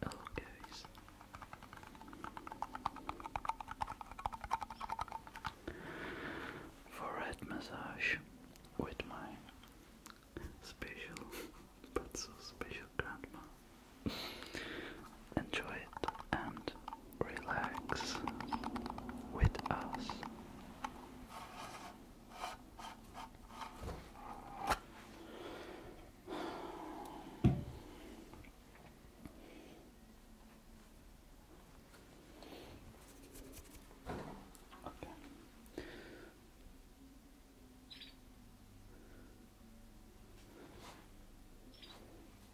Hello guys. Forehead massage with my special but so special grandma enjoy it and relax with us. Okay.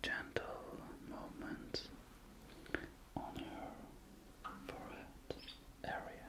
Gentle movements on your forehead area.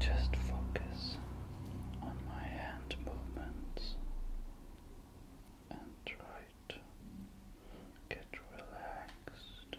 Just focus on my hand movements and try to get relaxed.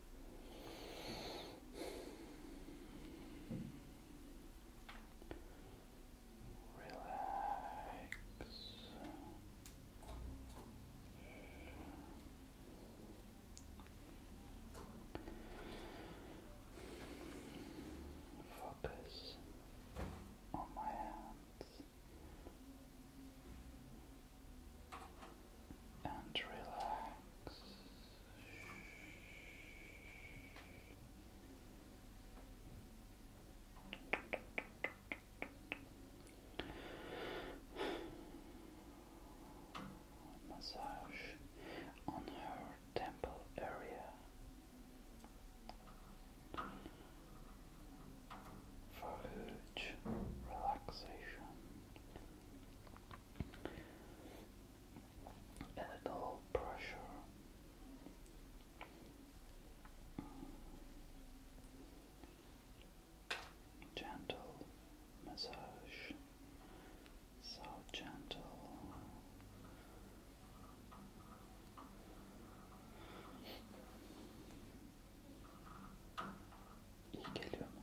Relax. Focus on my hands and relax. Massage on her temple area. For huge relaxation a pressure. Gentle massage, so gentle. İyi geliyor mu?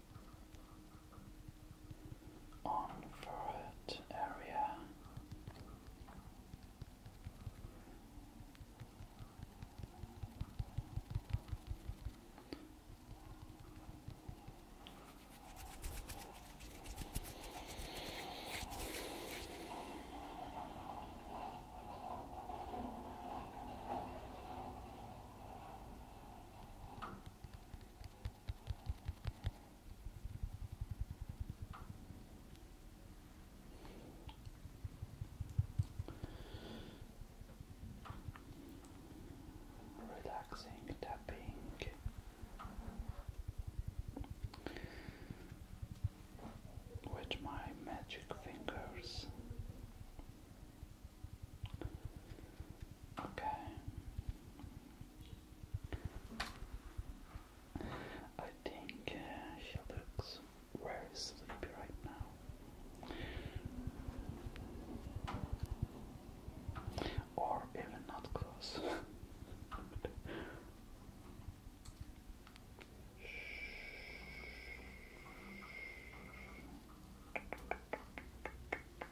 on forehead area. Relaxing tapping. With my magic fingers, Okay. I think uh, she looks very sleepy right now. Or even not close.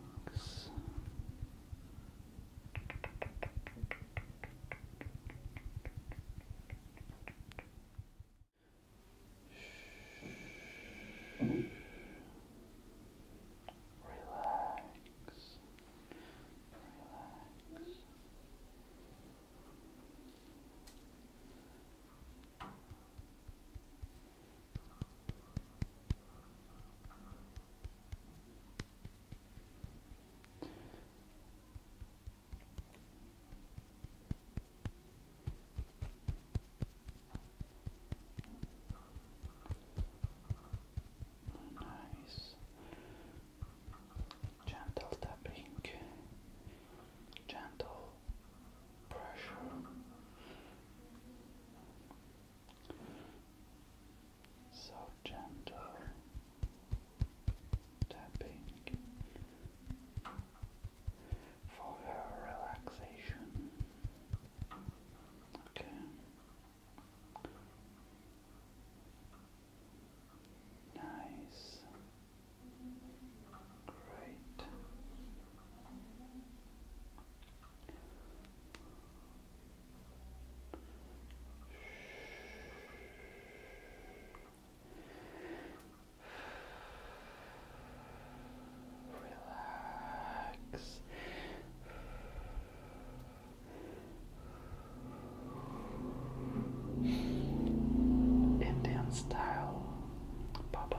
relax. Shh. Relax. Relax. Relax. Nice gentle tapping, gentle pressure. So gentle tapping for her relaxation. Okay. Nice. Great. Relax. Indian style Baba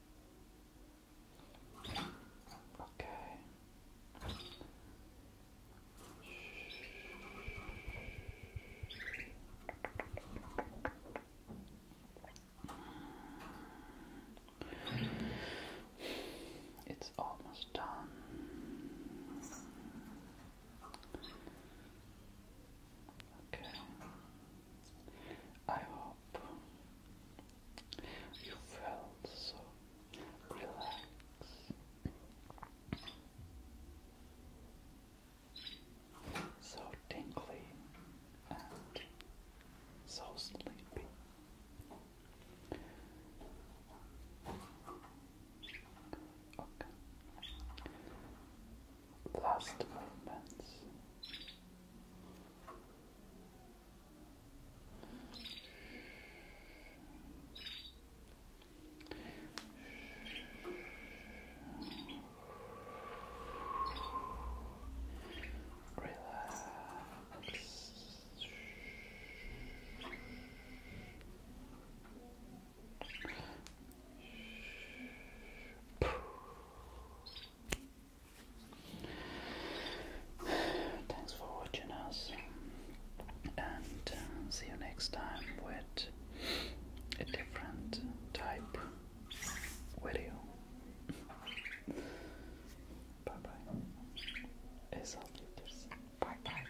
Okay. It's almost done. Okay. I hope you felt so relaxed, so tingly, and so sleepy. Okay last movements. Relax. Thanks for watching us, and uh, see you next time with a different type video. bye bye. Bye bye.